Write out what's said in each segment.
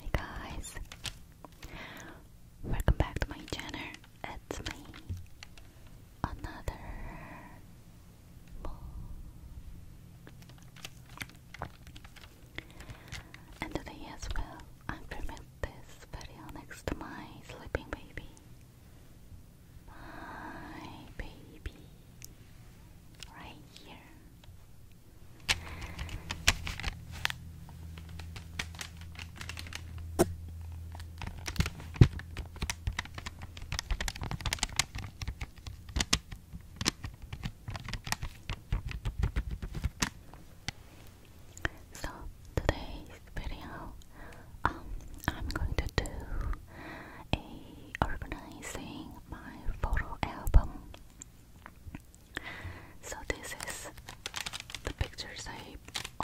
Hey guys, welcome back to my channel. It's me, another And today as well, I'm filming this video next to my sleeping baby. My baby. Right here. So today's video, um, I'm going to do a organizing my photo album. So this is the pictures I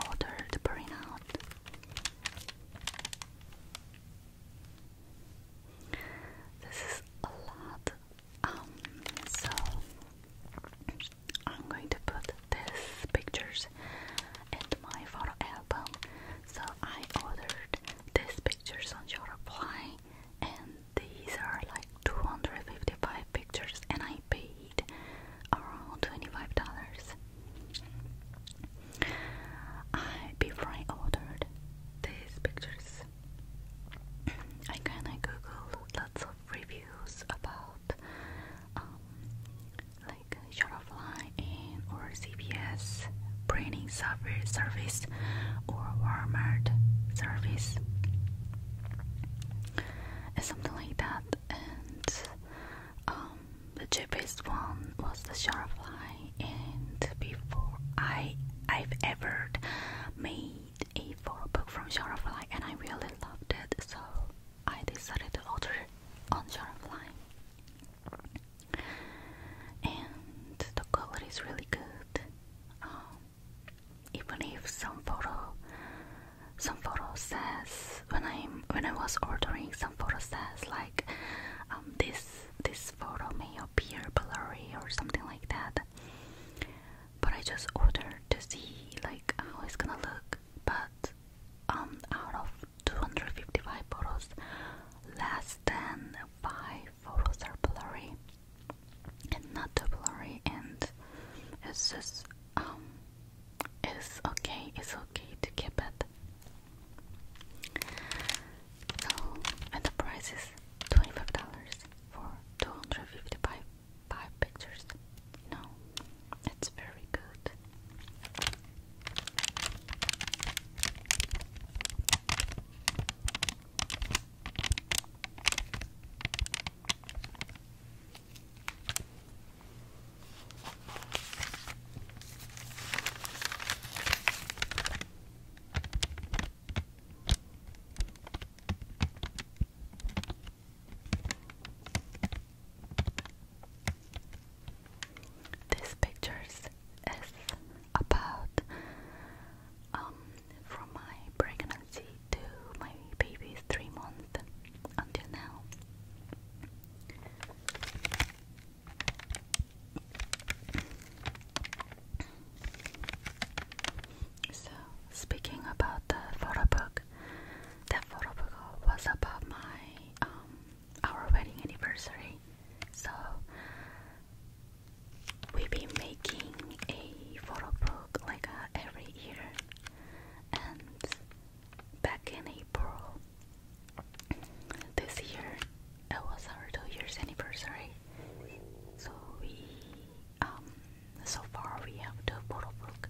ordered to print out. This is a lot. Um, so I'm going to put these pictures into my photo album. So I ordered these pictures on Shutterfly, and these are like 255 pictures, and I paid around $25. I before I ordered these pictures, I kinda googled lots of reviews about um, like Shutterfly and or CVS printing software service or Walmart service and something like that and um, the cheapest one was the Shutterfly and before I I've ever made a photo book from Shutterfly and I really loved it so I decided to order on Shopify, and the quality is really good. Um, even if some photo, some photo says when I'm when I was ordering, some photo says like um, this this photo may appear blurry or something like that. But I just ordered to see like how it's gonna look. But um, out of 255 photos, less than 5 photos are blurry and not too blurry and it's just um it's okay it's okay to keep it so and the price is $25 for 255 five pictures. You it's very good. These pictures is about um from my pregnancy to my baby three months until now. So, speaking about the photo book, that photo book was about my um our wedding anniversary. So we've been making a photo book like uh, every year, and back in April this year, it was our two years anniversary. So we um so far we have two photo book.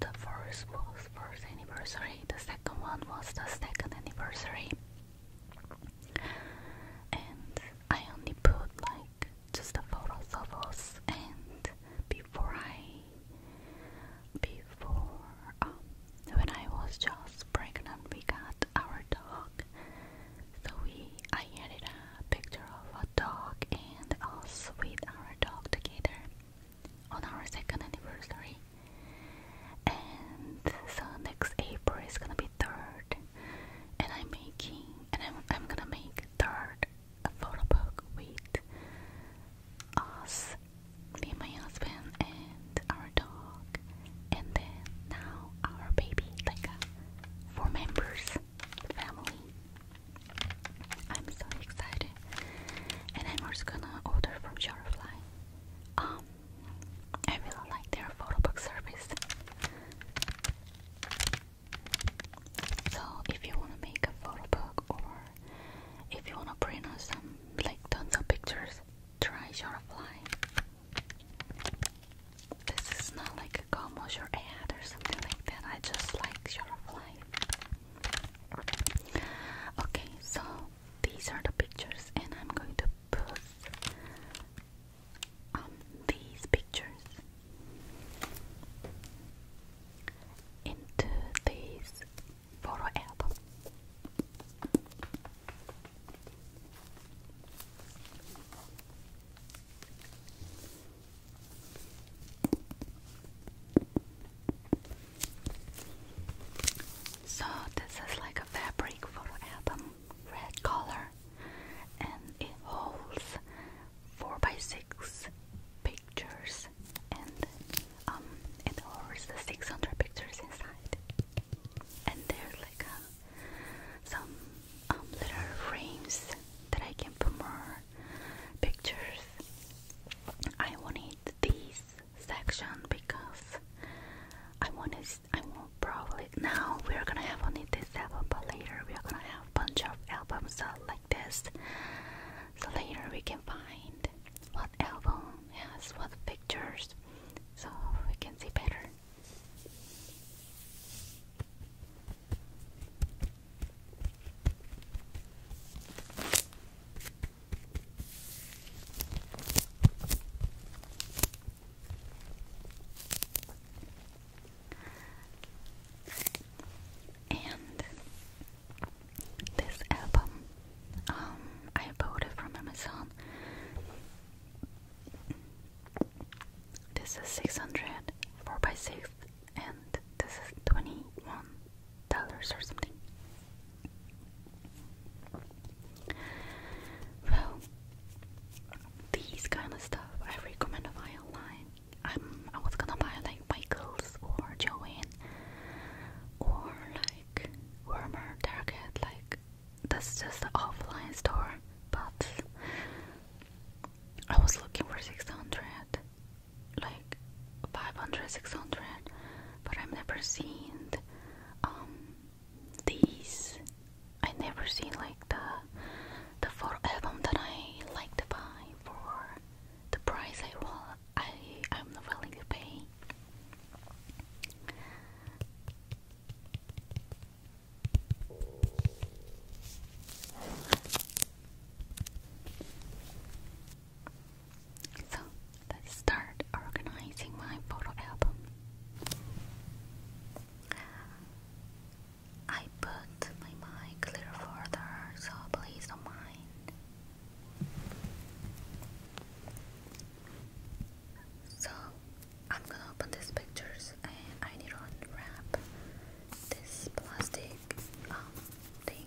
The first was first anniversary, the second one was the second anniversary. And I only put like just the photos of us and before I before um, when I was just pregnant we got our dog. So we I added a picture of a dog and us with our dog together on our second anniversary. And so next April is gonna be third, and I'm making, and I'm, gonna make third a photo book with us, me my husband, and our dog, and then now our baby, like uh, four members, family. I'm so excited, and I'm also gonna order from Shutterfly. Um, I really like their photo book service. So if you wanna make a photo book or if you wanna print out some like tons of pictures, try Shutterfly. This is not like a commercial ad or something like that. I just like Shutterfly. Okay, so these are the pictures, and I'm going to put um, these pictures into this photo album. So this is like a fabric for album, red color, and it holds four by six pictures, and um, it holds the six hundred pictures inside, and there's like uh, some um, little frames that I can put more pictures. I wanted this section because I wanted. I will probably now we're gonna have only this album, but later we are gonna have a bunch of albums like this. So later we can find what album has what pictures, so we can see better. And this album, um, I bought it from Amazon. This is six hundred four 4 by 6 and this is 21 dollars or something. Well, these kind of stuff I recommend a buy online. Um, I was gonna buy like Michaels or Joanne or like Wormer Target. Like that's just the offline store, but I was looking for six hundred like 500 600 but I've never seen um these I never seen like the the photo album that I like to buy for the price I want I I'm not willing to pay so let's start organizing my photo album. I put my mic clear so please don't mind. So I'm gonna open these pictures and I need to unwrap this plastic um, thing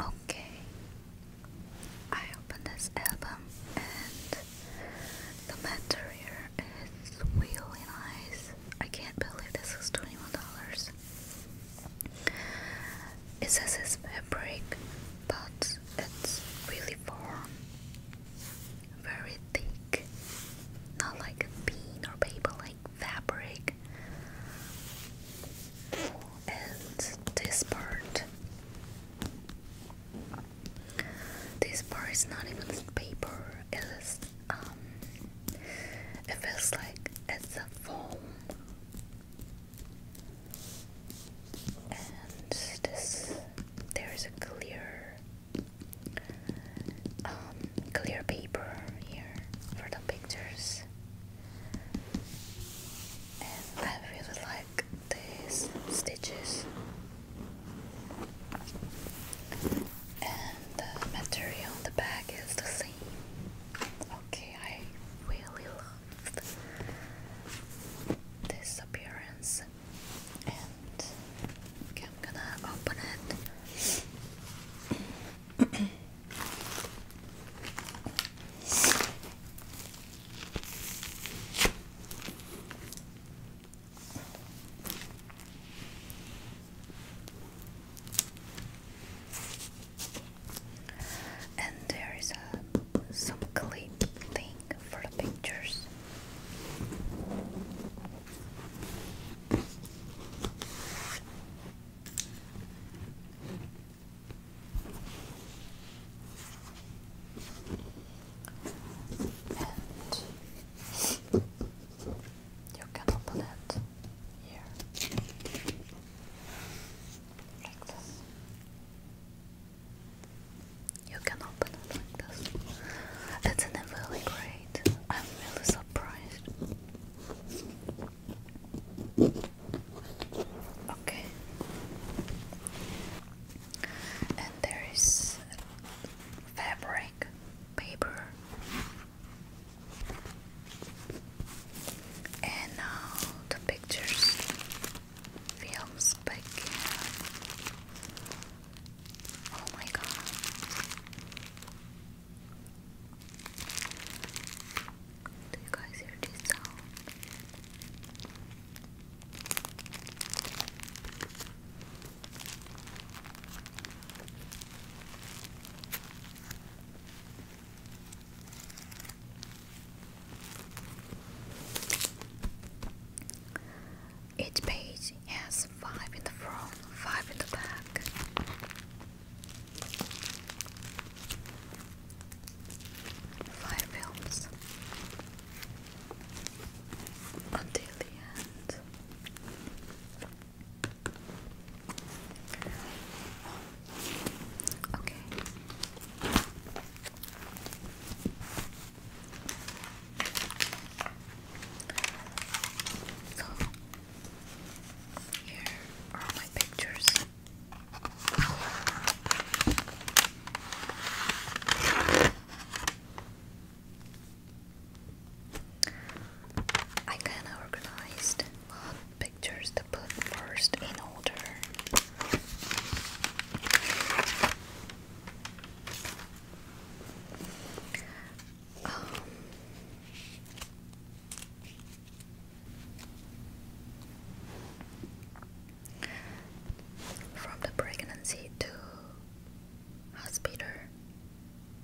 Okay, I opened this album and the material is really nice. I can't believe this was $21. It says it's fabric, but it's really warm, very thick, not like a or paper fabric and this part this part is not even paper it is um, it feels like it's a foam and this there is a clear um, clear paper here for the pictures. And I really like these stitches and the material on the back is the same. Okay, I really loved this appearance and I'm gonna open it and there is a some clip thing for the pictures you can open it here like this. You can open it like this. It's an envelope gray I'm really surprised. Okay. And there is fabric, paper. And now the pictures, films begin. Oh my god. Do you guys hear this sound? Each page has five in the front, five in the back. Five films until the end. Okay. So here are my pictures. I kinda organized pictures to put first in order. Um, from the pregnancy to hospital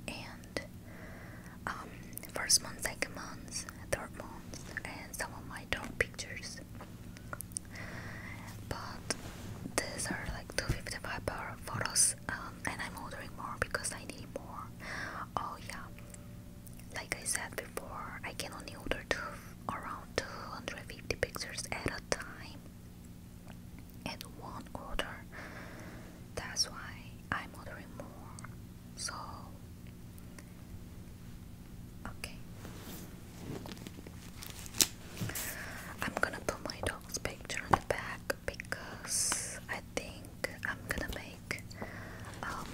and um, first month, second month, third month, and some of my dog pictures. But these are like 255 photos, um, and I'm ordering more because I need more. Oh yeah, like I said before, I can only order two, around 250 pictures at a time at one order. That's why I'm ordering more. So, okay. I'm gonna put my dog's picture on the back because I think I'm gonna make um,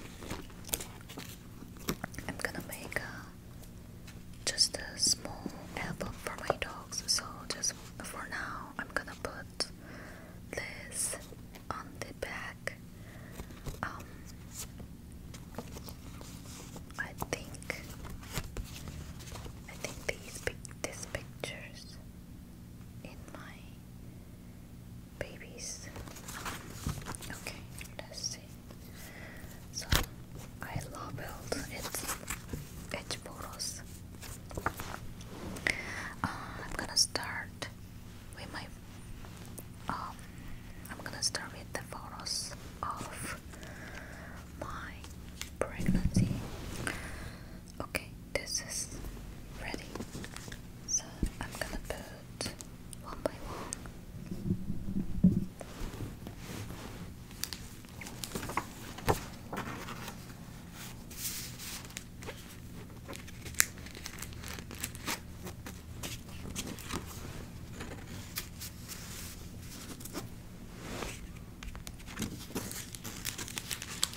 I'm gonna make uh, just a small album for my dogs so just for now I'm gonna put this on the back um, I think I think these pic these pictures in my babies. Okay, let's see. So I labeled it each photos. Uh, I'm gonna start with my um, I'm gonna start with the photos of my pregnancy. Okay, this is ready. So I'm gonna put one by one.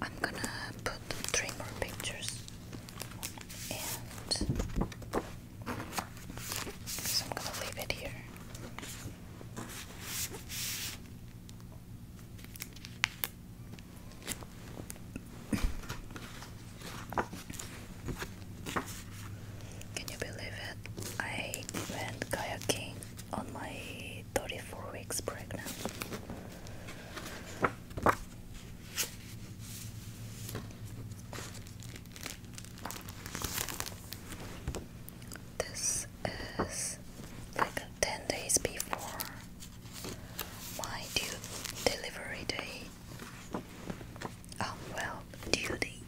I'm gonna put three more pictures and I'm gonna leave it here. Can you believe it? I went kayaking on my 34 weeks pregnant. This is like 10 days before my due delivery day. Oh, well, duty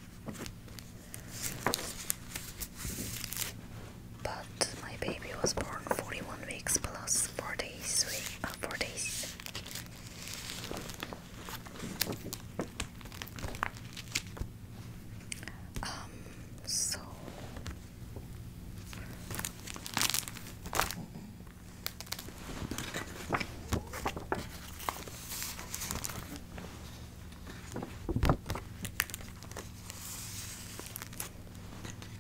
but my baby was born 41 weeks plus 4 days, week, uh, 4 days. Um, so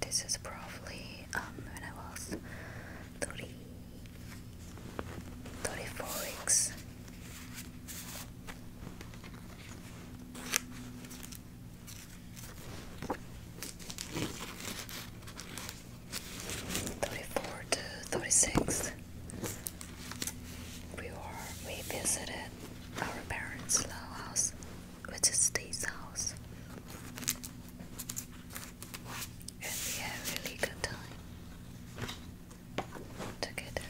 This is probably um, when I was 30, 34 weeks. Thirty-four to thirty-six. We were we our parents' law house, which is this house. And we had a really good time together.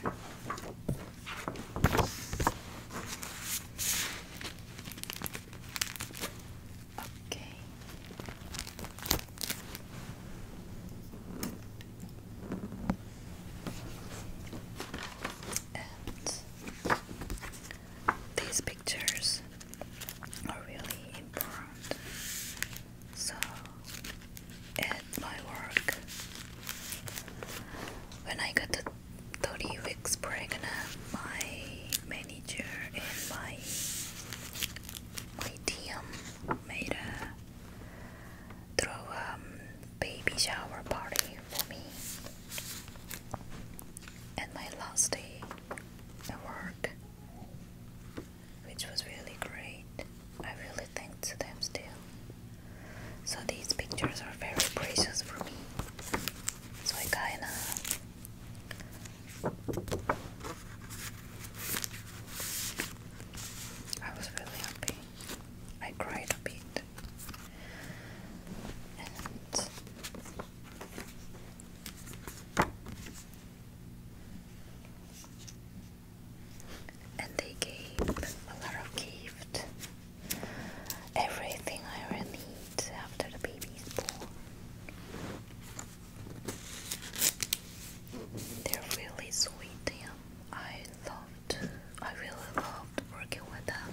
Okay. And these pictures are really important. So, at my work, when I got 30 weeks pregnant, my manager and my, my team made a throw um, baby shower party for me. And my last day at work, which was really great. I really thank to them still. So these pictures are very precious for me. So I kinda I was really happy. I cried a bit. And and they gave a lot of gift. Everything I need after the baby born. They're really sweet. Yeah. I loved, I really loved working with them.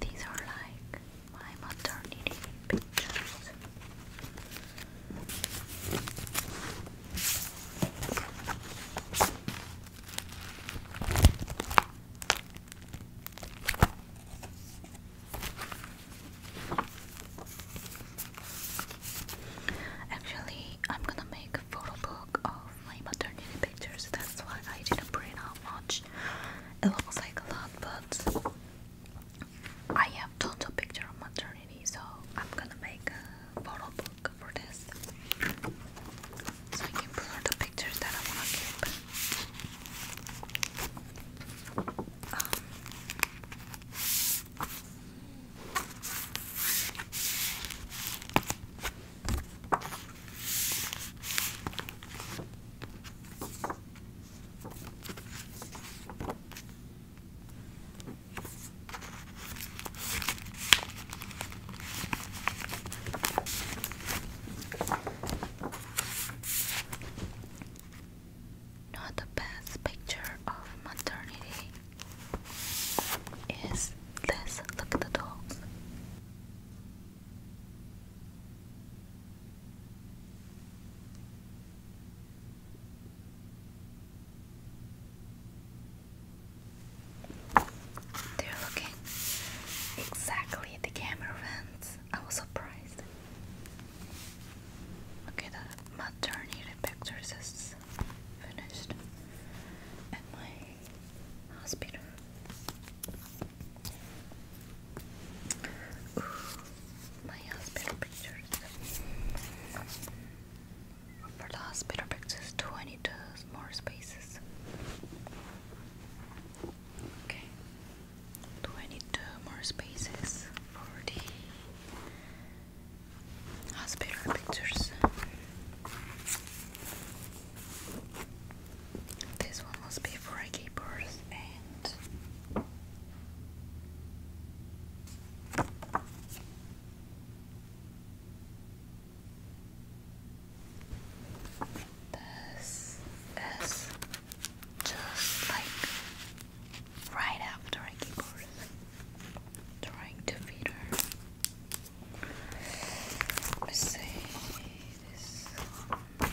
These are like my maternity pictures. Actually, I'm gonna make a photo book of family maternity pictures, that's why I didn't print out much. It looks like a lot, but I have tons of pictures of maternity, so I'm gonna make a photo book for this. So I can put all the pictures that I wanna keep. Um, not the best picture of maternity is this. Look at the dogs. They're looking exactly at the camera vents. I was surprised. Okay, the maternity pictures is finished. And my hospital. Ooh, my hospital pictures. For the hospital pictures, too, more spaces. Okay. Do more spaces for the hospital pictures. This one was before I gave birth, and this is just like right after I gave birth, trying to feed her. Let's see this one here.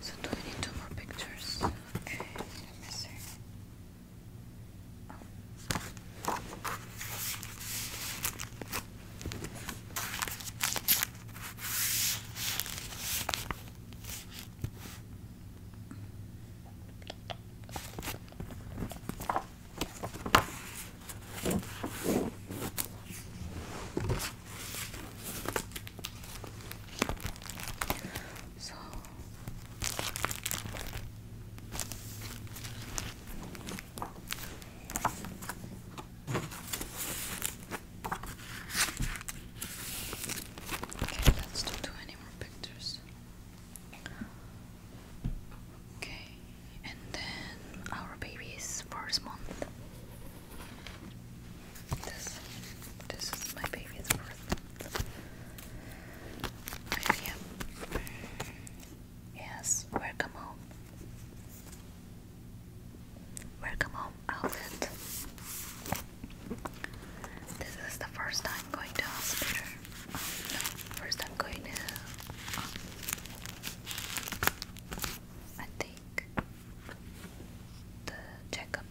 So do we need two more pictures? Okay, so Okay, let's do any more pictures. Okay, and then our baby's first month. This, this is my baby's birth. month. Yes, welcome home. Welcome home, outlet. This is the first time going to hospital. first time going to. Oh. I think the checkup.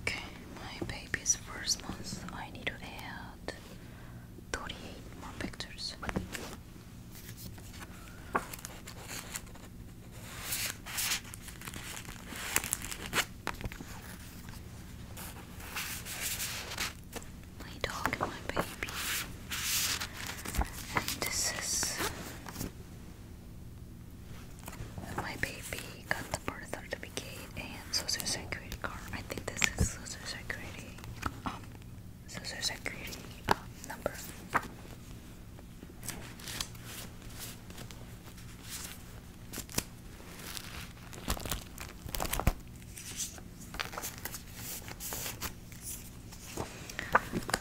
okay, my baby's first month. I need to add 38 more pictures. My dog my baby. And this is my baby got the birth certificate and social security card. I think this is social security um, so there's a greedy um, number.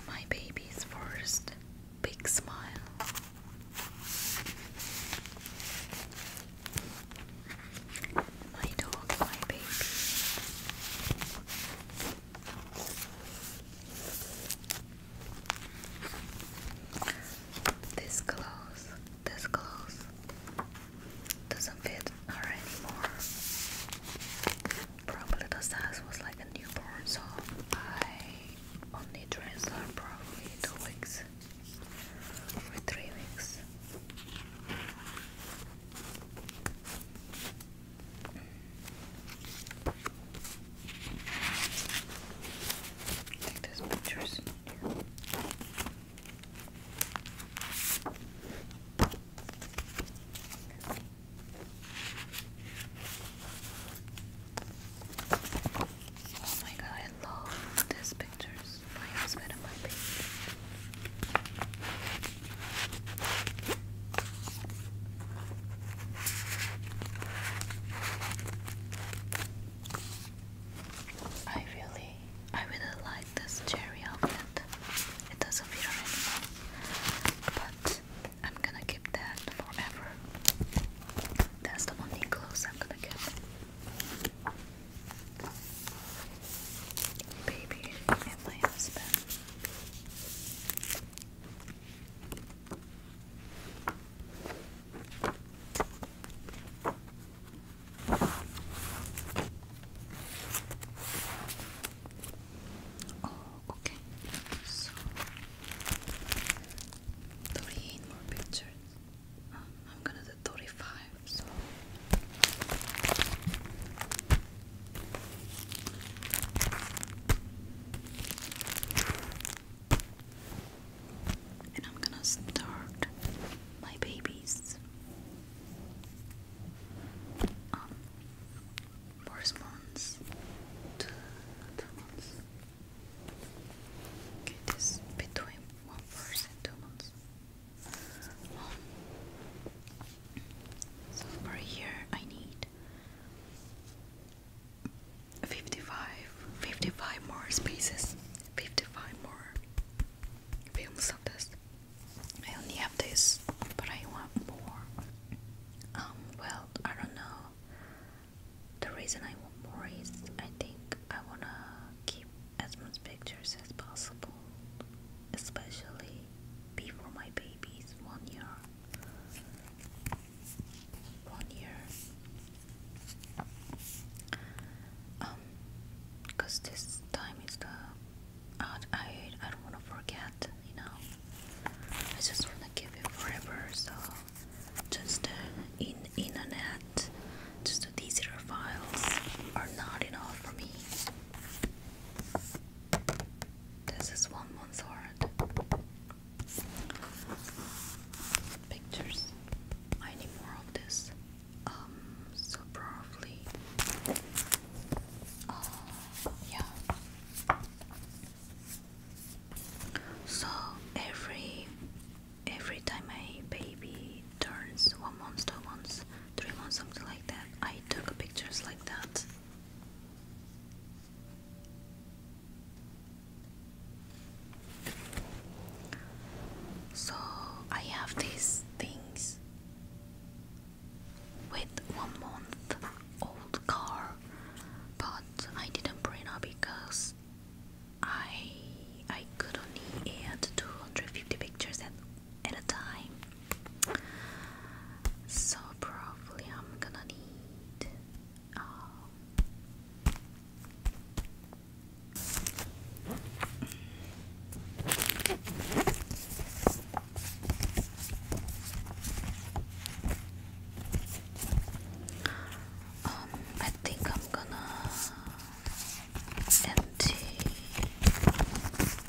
My baby's first big smile. My dog, my baby. This clothes, this clothes doesn't fit her anymore. Probably the size was like a newborn, so I only dress her probably two weeks or three weeks. Take those pictures Oh my god, I love these pictures. I really, I really like this cherry outfit. It doesn't fit anymore, but I'm gonna keep that forever. That's the only clothes I'm gonna get baby and my husband. Oh, okay. So, three more pictures. Um, I'm gonna do 35 so and I'm gonna start my babies um okay this between one first and two months so for here I need 55, more spaces, 55 more films of this. I only have this, but I want more. Um, well, I don't know. The reason I want more is I think I wanna keep as much pictures as possible, especially before my baby's one year. One year. Um, cause this time is the I I, I don't wanna forget, you know. I just wanna keep it forever, so just uh, in internet, just these are files are not enough for me. This is one month old. Pictures. I need more of this. Um, so probably. Uh, yeah. So every every time my baby turns one month to three months, something like that. I took pictures like that. So I have these things with one month old car, but I didn't print out because I I could only add 250 pictures at at a time. So probably I'm gonna need um, I think I'm gonna empty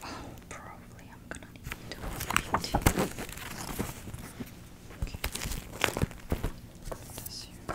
Oh, probably I'm gonna need to repeat Okay. This here.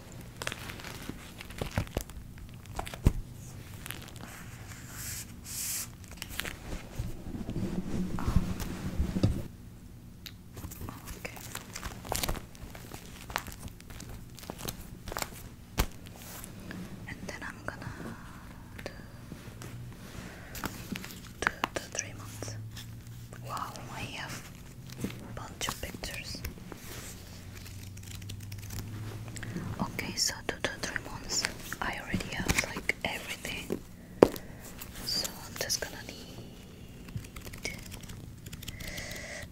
Um, And then I'm gonna do, do, do three months. Wow, I have a bunch of pictures. Okay, so two to three months. I already have like everything, so I'm just gonna need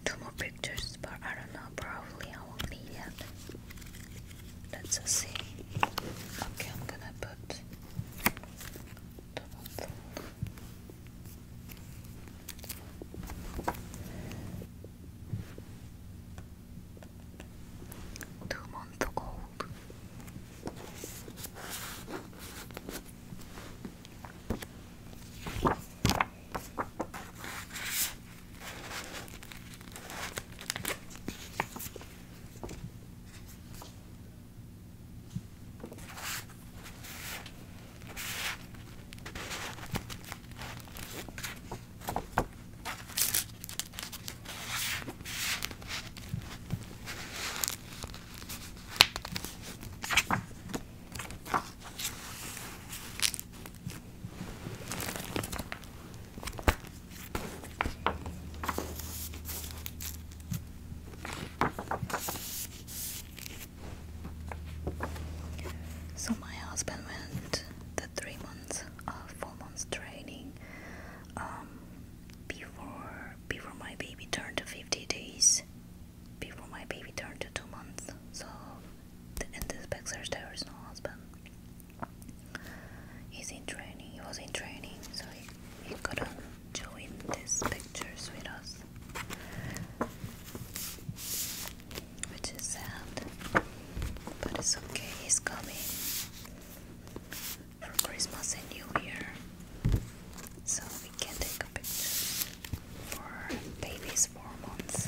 two more pictures, but I don't know. Probably I won't need it. Let's see. Okay, I'm gonna put the one. Two months old. So, my husband went the three months, uh, four months training um, before before my baby turned to 50 days, before my baby turned to two months. So in this picture there is no husband. He's in training. He was in training, so he, couldn't join this pictures with us which is sad, but it's okay, he's coming for Christmas and New Year, so we can take a picture for babies four months.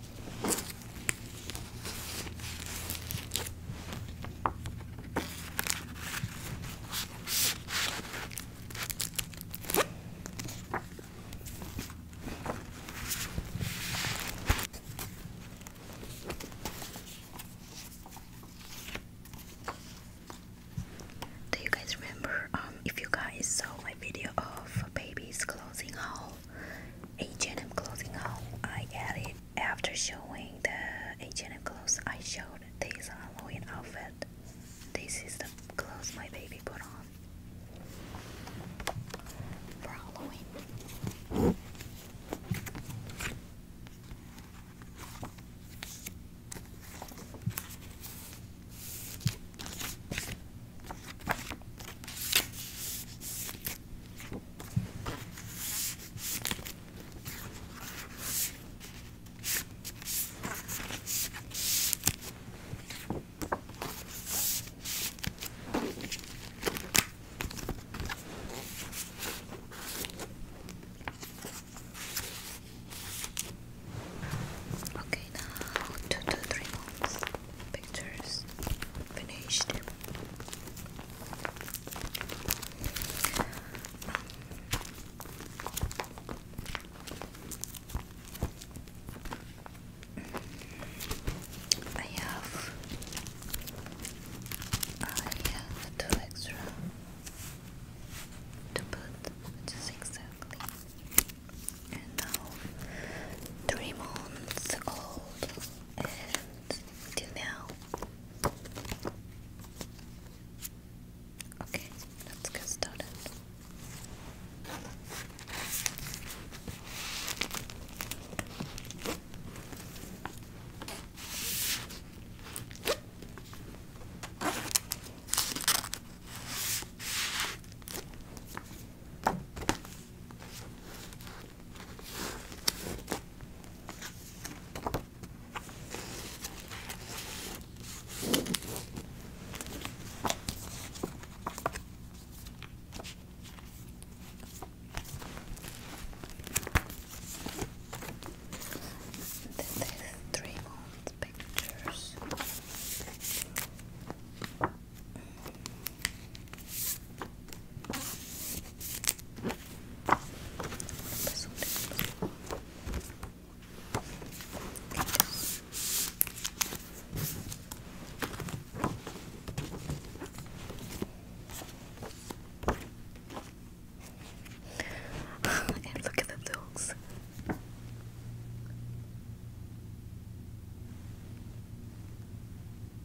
Do you guys remember um, if you guys saw my video of babies closing haul? H&M clothing haul. I added after showing the H&M clothes. I showed this Halloween outfit. This is the clothes my baby put on for Halloween. Okay, now two to pictures finished. I have I have two extra to put which exactly and now three months old do now. Okay, let's get started. This is three month pictures. Mm. and look at the dogs.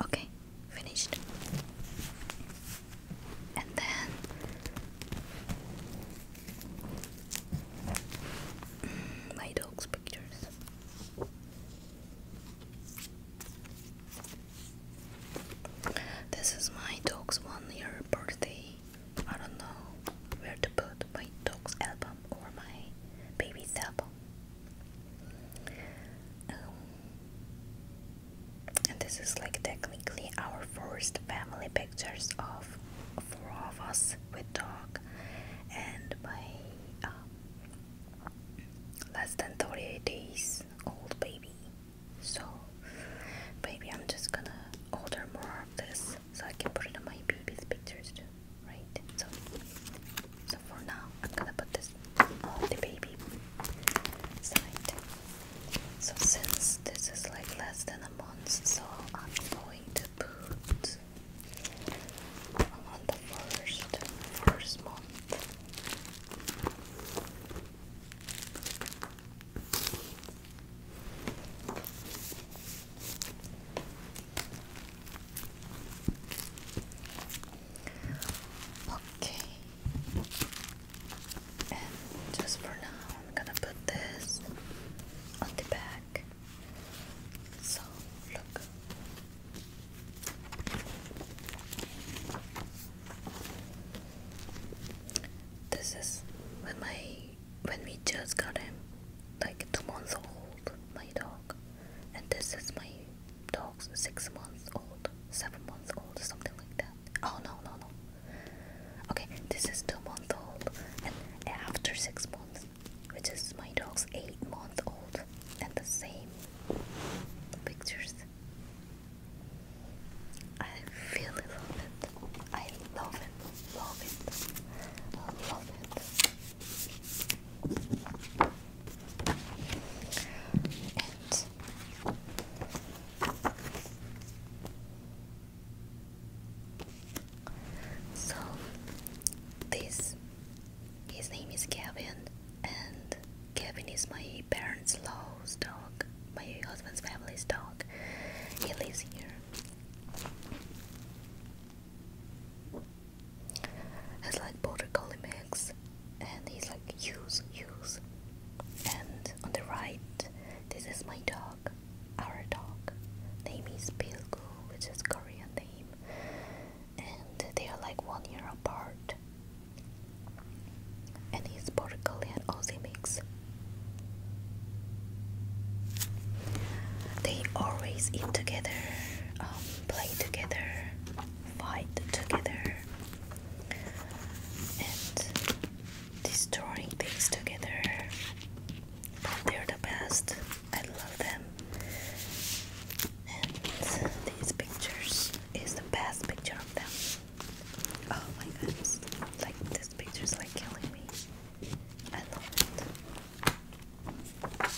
Okay, finished. And then my dog's pictures. This is my dog's one year birthday. I don't know where to put my dog's album or my baby's album. Um, and this is like technically our first family pictures of four of us with dog and my um, less than 38 days old baby so maybe i'm just gonna order more of this so i can put it on my baby's pictures too right so so for now i'm gonna put this on the baby side so since this is like less than a month so i'm going to put on the first first month. Okay, and just for now, I'm gonna put this on the back. So, look. This is when my when we just got him, like two months old, my dog. And this is my dog's six months old, seven months old, something like that. Oh no no no. Okay, this is two month old, and after six months, which is my dog's eight month old, and the same pictures. I really love it. I love it, love it, love it. So, this his name is Kevin, and Kevin is my parents' law's dog, my husband's family's dog. He lives here. Has like border collie mix, and he's like use use. And on the right, this is my dog our dog. Name is Pilgu, which is Korean name, and they are like one year apart. And he's Portugal and Aussie mix. They always eat together, um, play together, fight together, and destroying things together they're the best. I love them. And these pictures is the best picture of them. Oh my goodness! Like this picture is like killing me. I love it.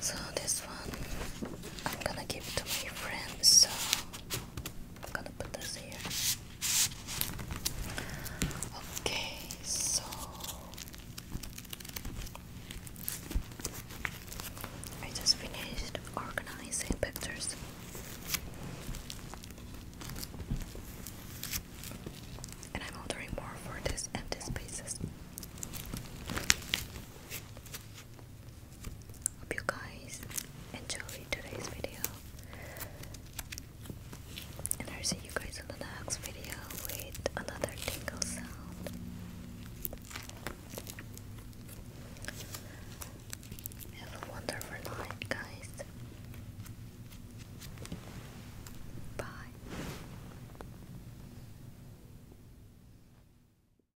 So this I'm gonna give it to my friends, so I'm gonna put this here. Okay, so I just finished organizing pictures. And I'm ordering more for this empty spaces. Hope you guys enjoyed today's video. And I'll see you guys in the next video with another tingle sound. Have a wonderful night, guys. Bye.